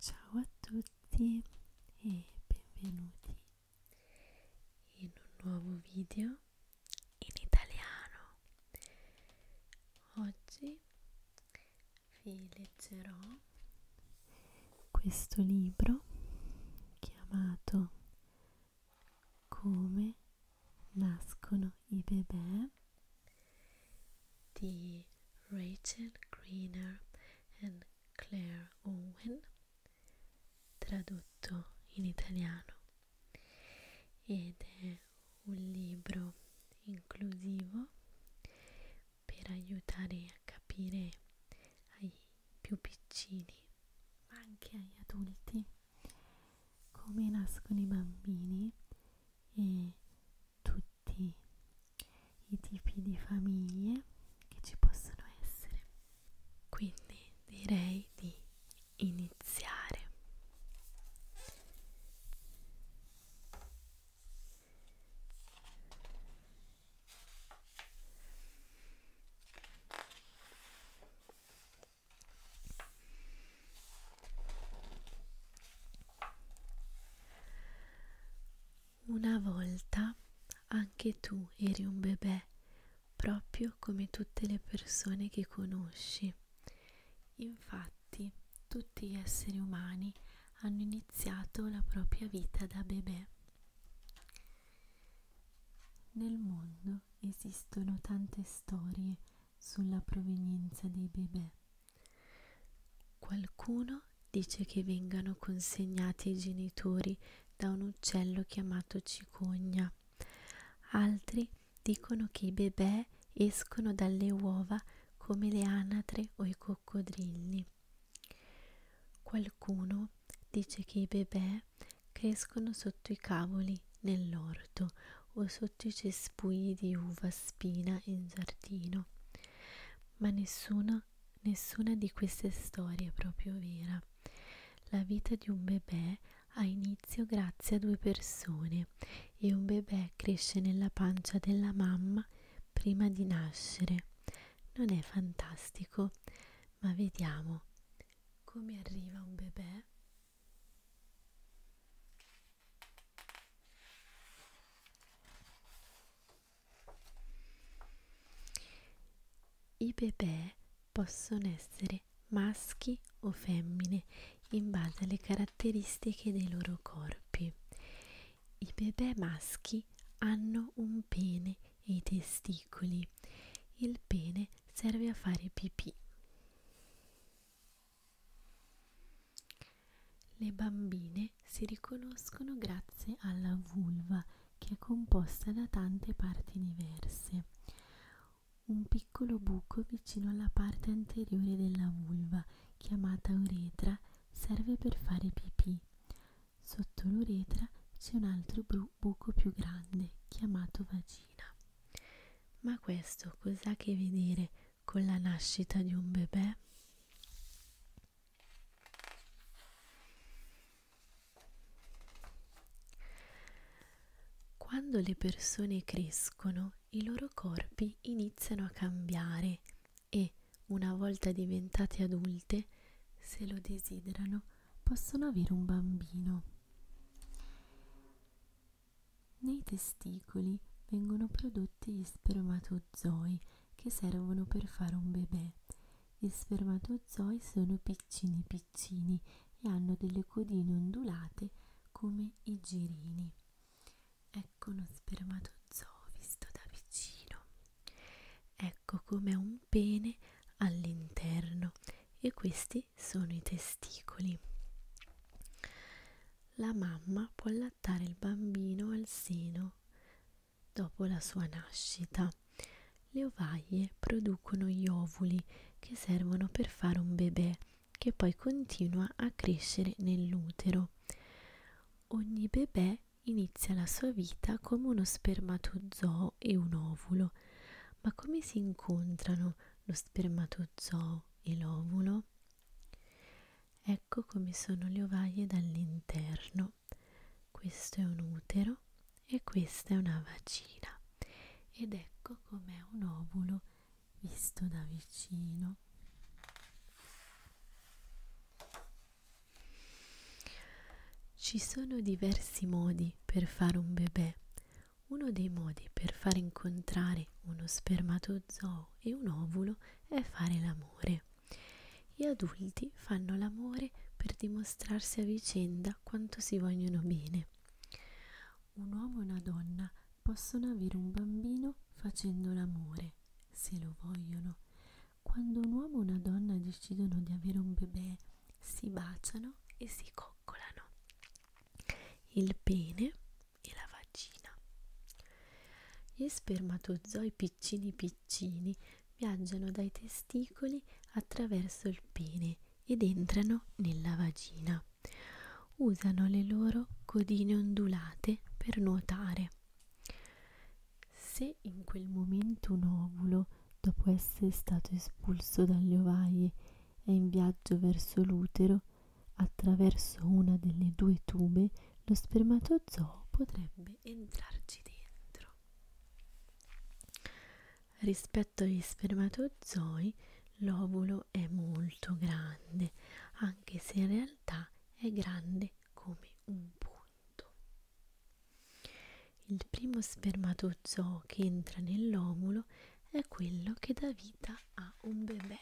Ciao a tutti e benvenuti in un nuovo video in italiano. Oggi vi leggerò questo libro chiamato Come nascono i bebè di Rachel Greener e Claire Owen, tradotto in italiano, ed è un libro inclusivo per aiutare a capire ai più piccini, ma anche agli adulti, come nascono i bambini e tutti i tipi di famiglie che ci possono essere. Quindi direi di iniziare. Una volta anche tu eri un bebè, proprio come tutte le persone che conosci. Infatti, tutti gli esseri umani hanno iniziato la propria vita da bebè. Nel mondo esistono tante storie sulla provenienza dei bebè. Qualcuno dice che vengano consegnati ai genitori da un uccello chiamato cicogna. Altri dicono che i bebè escono dalle uova come le anatre o i coccodrilli. Qualcuno dice che i bebè crescono sotto i cavoli nell'orto o sotto i cespugli di uva spina in giardino. Ma nessuna, nessuna di queste storie è proprio vera. La vita di un bebè ha inizio grazie a due persone e un bebè cresce nella pancia della mamma prima di nascere. Non è fantastico, ma vediamo come arriva un bebè i bebè possono essere maschi o femmine in base alle caratteristiche dei loro corpi. I bebè maschi hanno un pene e i testicoli. Il pene serve a fare pipì. Le bambine si riconoscono grazie alla vulva che è composta da tante parti diverse. Un piccolo buco vicino alla parte anteriore della vulva, chiamata uretra, serve per fare pipì. Sotto l'uretra c'è un altro bu buco più grande, chiamato vagina. Ma questo cos'ha a che vedere con la nascita di un bebè. Quando le persone crescono, i loro corpi iniziano a cambiare e, una volta diventate adulte, se lo desiderano, possono avere un bambino. Nei testicoli vengono prodotti tutti gli spermatozoi che servono per fare un bebè. Gli spermatozoi sono piccini piccini e hanno delle codine ondulate come i girini. Ecco uno spermatozoo visto da vicino. Ecco come un pene all'interno e questi sono i testicoli. La mamma può lasciare allattare il bambino al seno dopo la sua nascita. Le ovaie producono gli ovuli che servono per fare un bebè che poi continua a crescere nell'utero. Ogni bebè inizia la sua vita come uno spermatozoo e un ovulo. Ma come si incontrano lo spermatozoo e l'ovulo? Ecco come sono le ovaie dall'interno. Questo è un utero e questa è una vagina. Ed ecco com'è un ovulo visto da vicino. Ci sono diversi modi per fare un bebè. Uno dei modi per far incontrare uno spermatozoo e un ovulo è fare l'amore. Gli adulti fanno l'amore per dimostrarsi a vicenda quanto si vogliono bene. Un uomo e una donna possono avere un bambino facendo l'amore, se lo vogliono. Quando un uomo e una donna decidono di avere un bebè, si baciano e si coccolano. Il pene e la vagina. Gli spermatozoi piccini piccini viaggiano dai testicoli attraverso il pene ed entrano nella vagina. Usano le loro codine ondulate per nuotare. Se in quel momento un ovulo, dopo essere stato espulso dalle ovaie, è in viaggio verso l'utero, attraverso una delle due tube lo spermatozoo potrebbe entrarci dentro. Rispetto agli spermatozoi, l'ovulo è molto grande, anche se in realtà è grande come un punto. Il primo spermatozoo che entra nell'ovulo è quello che dà vita a un bebè.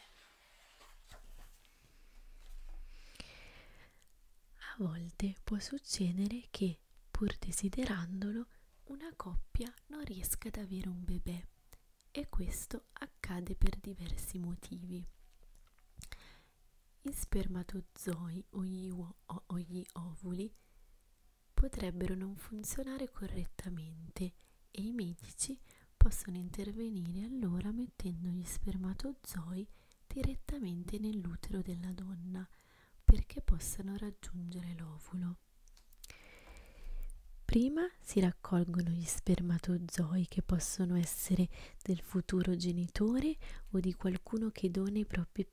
A volte può succedere che, pur desiderandolo, una coppia non riesca ad avere un bebè e questo accade per diversi motivi. Gli spermatozoi o gli, o o gli ovuli potrebbero non funzionare correttamente e i medici possono intervenire allora mettendo gli spermatozoi direttamente nell'utero della donna perché possano raggiungere l'ovulo. Prima si raccolgono gli spermatozoi che possono essere del futuro genitore o di qualcuno che dona i propri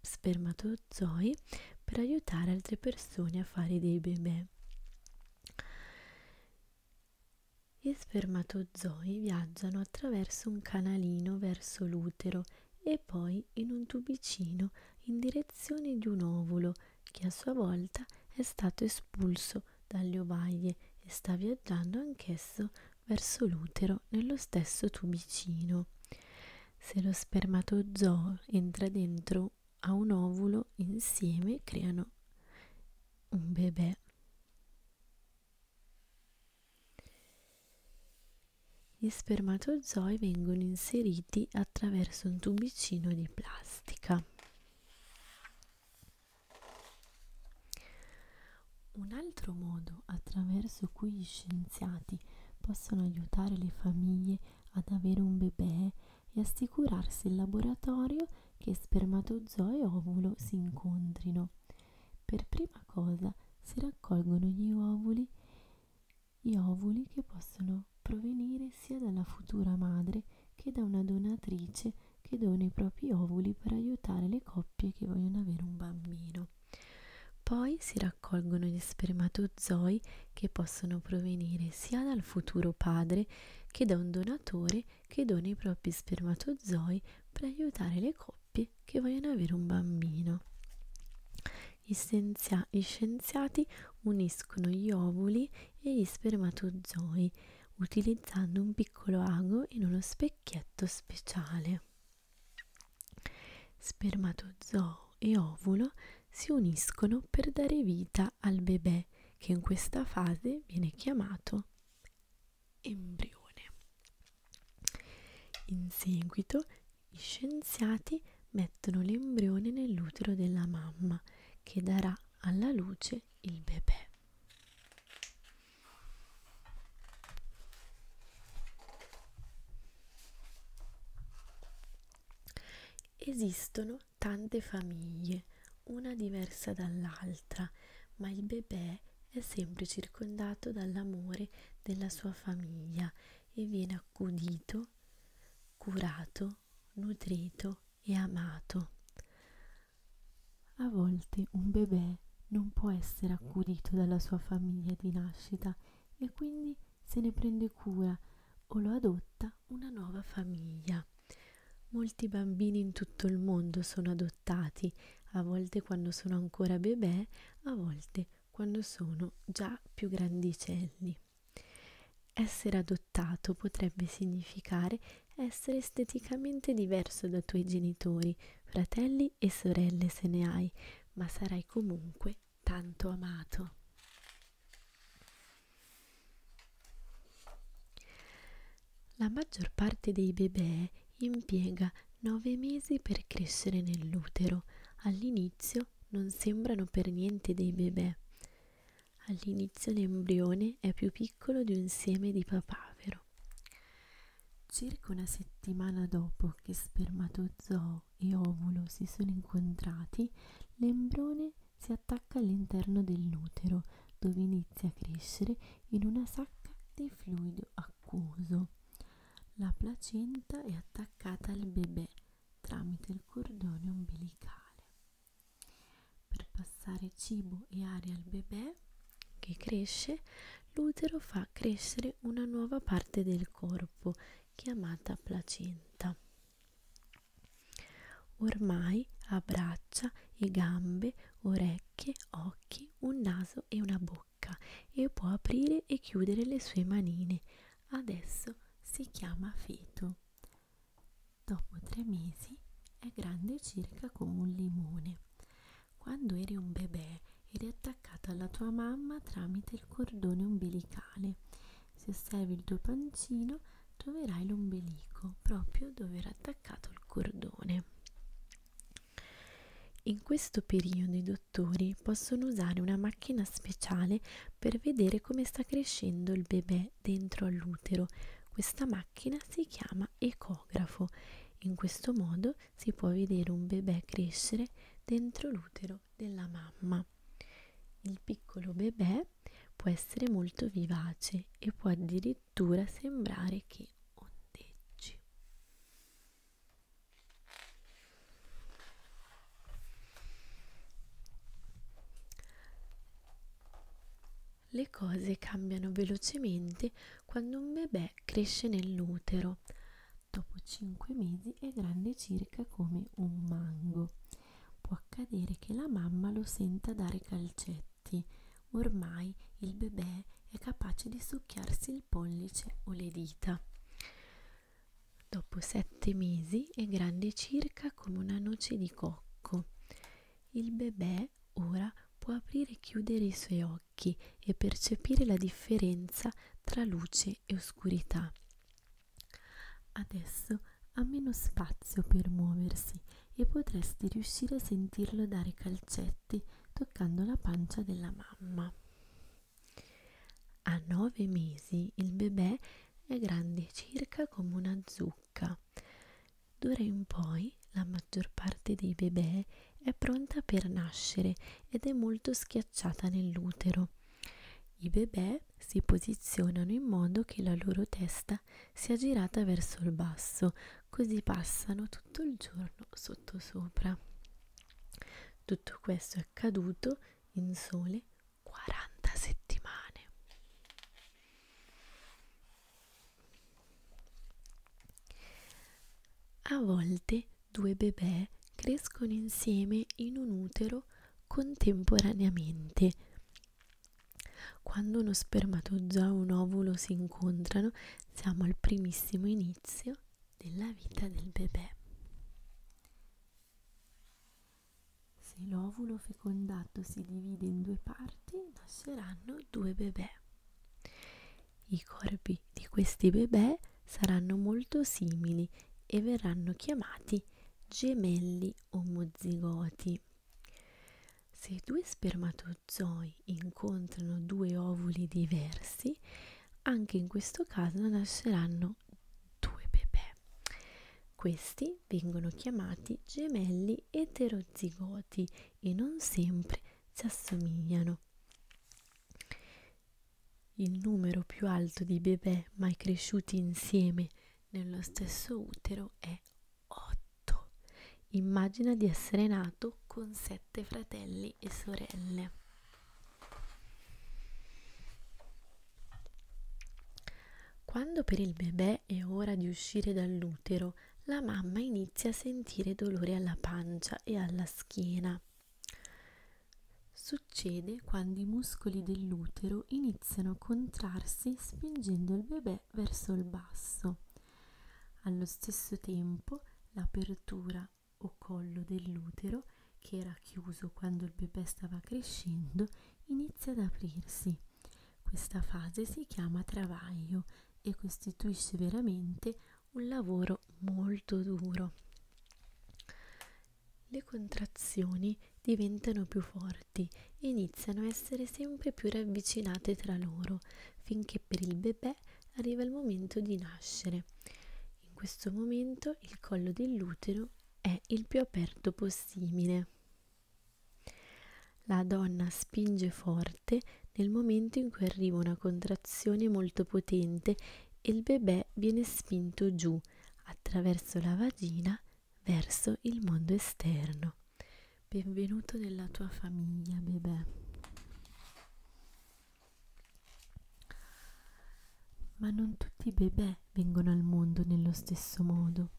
spermatozoi per aiutare altre persone a fare dei bebè. Gli spermatozoi viaggiano attraverso un canalino verso l'utero e poi in un tubicino in direzione di un ovulo che a sua volta è stato espulso dalle ovaie e sta viaggiando anch'esso verso l'utero nello stesso tubicino. Se lo spermatozoo entra dentro a un ovulo, insieme creano un bebè. Gli spermatozoi vengono inseriti attraverso un tubicino di plastica. Un altro modo attraverso cui gli scienziati possono aiutare le famiglie ad avere un bebè e assicurarsi il laboratorio che spermatozoi e ovulo si incontrino. Per prima cosa si raccolgono gli ovuli, gli ovuli che possono provenire sia dalla futura madre che da una donatrice che dona i propri ovuli per aiutare le coppie che vogliono avere un bambino. Poi si raccolgono gli spermatozoi che possono provenire sia dal futuro padre che da un donatore che dona i propri spermatozoi per aiutare le coppie che vogliono avere un bambino. Gli, scienzia gli scienziati uniscono gli ovuli e gli spermatozoi utilizzando un piccolo ago in uno specchietto speciale. Spermatozoo e ovulo si uniscono per dare vita al bebè che in questa fase viene chiamato embrione. In seguito gli scienziati mettono l'embrione nell'utero della mamma che darà alla luce il bebè. Esistono tante famiglie, una diversa dall'altra, ma il bebè è sempre circondato dall'amore della sua famiglia e viene accudito, curato, nutrito e amato. A volte un bebè non può essere accudito dalla sua famiglia di nascita e quindi se ne prende cura o lo adotta una nuova famiglia. Molti bambini in tutto il mondo sono adottati a volte quando sono ancora bebè, a volte quando sono già più grandicelli. Essere adottato potrebbe significare essere esteticamente diverso da tuoi genitori, fratelli e sorelle se ne hai, ma sarai comunque tanto amato. La maggior parte dei bebè impiega 9 mesi per crescere nell'utero. All'inizio non sembrano per niente dei bebè. All'inizio l'embrione è più piccolo di un seme di papavero. Circa una settimana dopo che spermatozoo e ovulo si sono incontrati, l'embrione si attacca all'interno dell'utero, dove inizia a crescere in una sacca di fluido acquoso. La placenta è attaccata al bebè tramite il cordone ombelicale. Per passare cibo e aria al bebè che cresce, l'utero fa crescere una nuova parte del corpo chiamata placenta. Ormai ha braccia e gambe, orecchie orecchie, occhi, un naso e una bocca e può aprire e chiudere le sue manine. Adesso si chiama feto. Dopo tre mesi è grande circa come un limone. Quando eri un bebè eri attaccato alla tua mamma tramite il cordone ombelicale. Se osservi il tuo pancino troverai l'ombelico proprio dove era attaccato il cordone. In questo periodo i dottori possono usare una macchina speciale per vedere come sta crescendo il bebè dentro all'utero. Questa macchina si chiama ecografo. In questo modo si può vedere un bebè crescere dentro l'utero della mamma. Il piccolo bebè può essere molto vivace e può addirittura addirittura sembrare che ondeggi. Le cose cambiano velocemente quando un bebè cresce nell'utero. Dopo 5 mesi è grande circa come un mango. Può accadere che la mamma lo senta dare calcetti effetti ormai il bebè è capace di succhiarsi il pollice o le dita. Dopo sette mesi è grande circa come una noce di cocco. Il bebè ora può aprire e chiudere i suoi occhi e percepire la differenza tra luce e oscurità. Adesso ha meno spazio per muoversi e potresti riuscire a sentirlo dare calcetti toccando la pancia della mamma. A nove mesi il bebè è grande circa come una zucca. D'ora in poi la maggior parte dei bebè è pronta per nascere ed è molto schiacciata nell'utero. I bebè si posizionano in modo che la loro testa sia girata verso il basso, così passano tutto il giorno sottosopra. Tutto questo è accaduto in sole 40 settimane. A volte due bebè crescono insieme in un utero contemporaneamente. Quando uno spermatozoo e un ovulo si incontrano, siamo al primissimo inizio della vita del bebè. Se l'ovulo fecondato si divide in due parti, nasceranno due bebè. I corpi di questi bebè saranno molto simili e verranno chiamati gemelli omozigoti. Se due spermatozoi poi incontrano due ovuli diversi, anche in questo caso nasceranno due bebè. Questi vengono chiamati gemelli eterozigoti e non sempre si assomigliano. Il numero più alto di bebè mai cresciuti insieme nello stesso utero è 8 Immagina di essere nato con sette fratelli e sorelle. Quando per il bebè è ora di uscire dall'utero, la mamma inizia a sentire dolore alla pancia e alla schiena. Succede quando i muscoli dell'utero iniziano a contrarsi spingendo il bebè verso il basso. Allo stesso tempo l'apertura o collo dell'utero, che era chiuso quando il bebè stava crescendo, inizia ad aprirsi. Questa fase si chiama travaglio e costituisce veramente un lavoro molto duro. Le contrazioni diventano più forti e iniziano a essere sempre più ravvicinate tra loro, finché per il bebè arriva il momento di nascere. In questo momento il collo dell'utero è il più aperto possibile. La donna spinge forte nel momento in cui arriva una contrazione molto potente e il bebè viene spinto giù attraverso la vagina verso il mondo esterno. Benvenuto nella tua famiglia, bebè. Ma non tutti i bebè vengono al mondo nello stesso modo.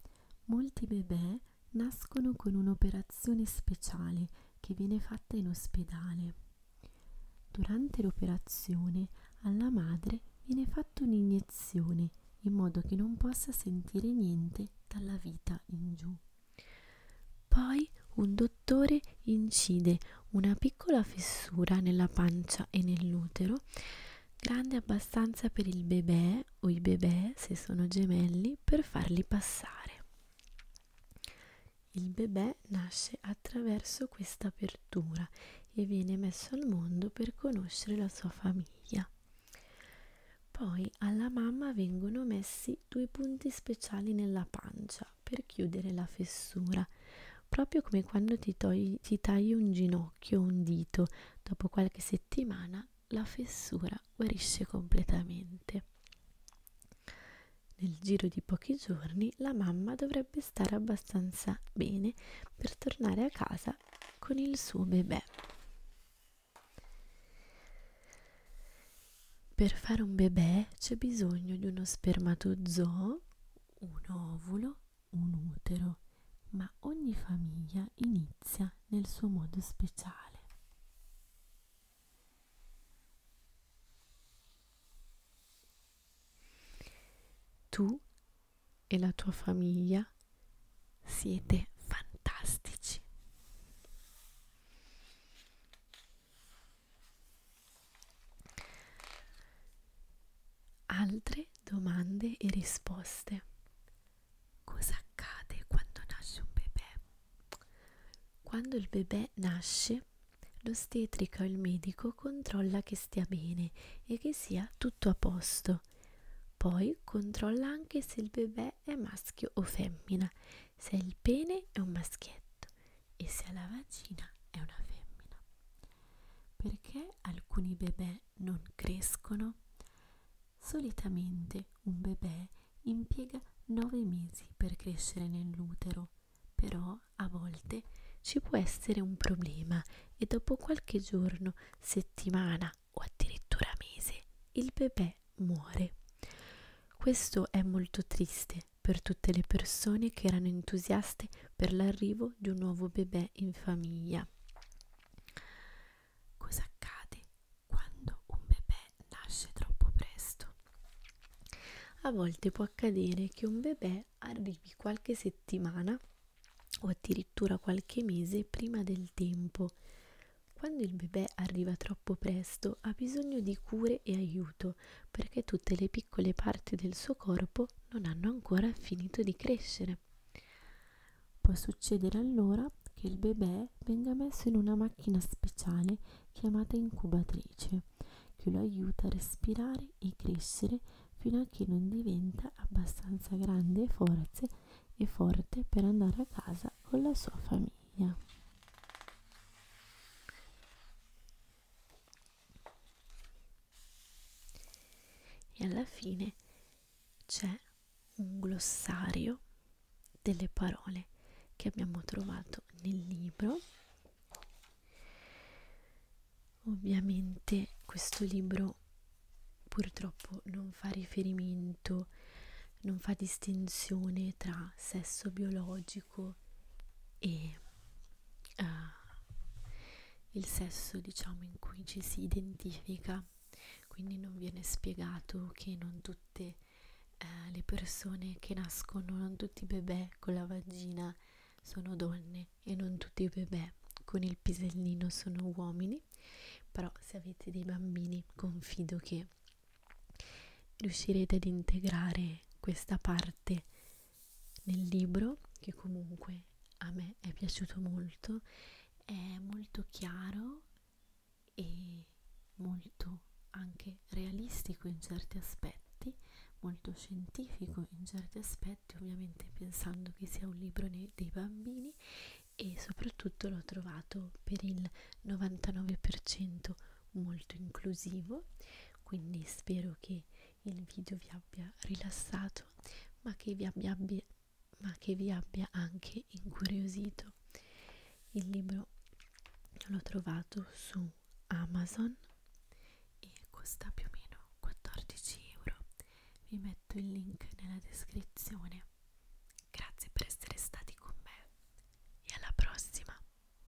Molti bebè nascono con un'operazione speciale che viene fatta in ospedale. Durante l'operazione alla madre viene fatta un'iniezione in modo che non possa sentire niente dalla vita in giù. Poi un dottore incide una piccola fessura nella pancia e nell'utero, grande abbastanza per il bebè o i bebè, se sono gemelli, per farli passare. Il bebè nasce attraverso questa apertura e viene messo al mondo per conoscere la sua famiglia. Poi alla mamma vengono messi due punti speciali nella pancia per chiudere la fessura, proprio come quando ti, togli, ti tagli un ginocchio o un dito, dopo qualche settimana la fessura guarisce completamente. Nel giro di pochi giorni la mamma dovrebbe stare abbastanza bene per tornare a casa con il suo bebè. Per fare un bebè c'è bisogno di uno spermatozoo, un ovulo, un utero, ma ogni famiglia inizia nel suo modo speciale. Tu e la tua famiglia siete fantastici. Altre domande e risposte. Cosa accade quando nasce un bebè? Quando il bebè nasce, l'ostetrica o il medico controlla che stia bene e che sia tutto a posto. Poi controlla anche se il bebè è maschio o femmina se il pene è un maschietto e se la vagina è una femmina. Perché alcuni bebè non crescono? Solitamente un bebè impiega 9 mesi per crescere nell'utero, però a volte ci può essere un problema e dopo qualche giorno, settimana o addirittura mese il bebè muore. Questo è molto triste per tutte le persone che erano entusiaste per l'arrivo di un nuovo bebè in famiglia. Cosa accade quando un bebè nasce troppo presto? A volte può accadere che un bebè arrivi qualche settimana o addirittura qualche mese prima del tempo. Quando il bebè arriva troppo presto ha bisogno di cure e aiuto tutto perché tutte le piccole parti del suo corpo non hanno ancora finito di crescere. Può succedere allora che il bebè venga messo in una macchina speciale chiamata incubatrice, che lo aiuta a respirare e crescere fino a che non diventa abbastanza grande e forze e forte per andare a casa con la sua famiglia e alla fine c'è un glossario delle parole che abbiamo trovato nel libro ovviamente questo libro purtroppo non fa riferimento non fa distinzione tra sesso biologico biologico e uh, il sesso diciamo in cui ci si identifica quindi non viene spiegato che non tutte uh, le persone che nascono non tutti i bebè con la vagina sono donne e non tutti i bebè con il pisellino sono uomini però se avete dei bambini confido che riuscirete ad integrare questa parte nel libro che comunque a me è piaciuto molto, è molto chiaro e molto anche realistico in certi aspetti, molto scientifico in certi aspetti, ovviamente pensando che sia un libro dei bambini e soprattutto l'ho trovato per il 99% molto inclusivo quindi spero che il video vi abbia rilassato ma che vi abbia, abbia, ma che vi abbia anche incuriosito il libro l'ho trovato su Amazon e costa più o meno 14 euro vi metto il link nella descrizione grazie per essere stati con me e alla prossima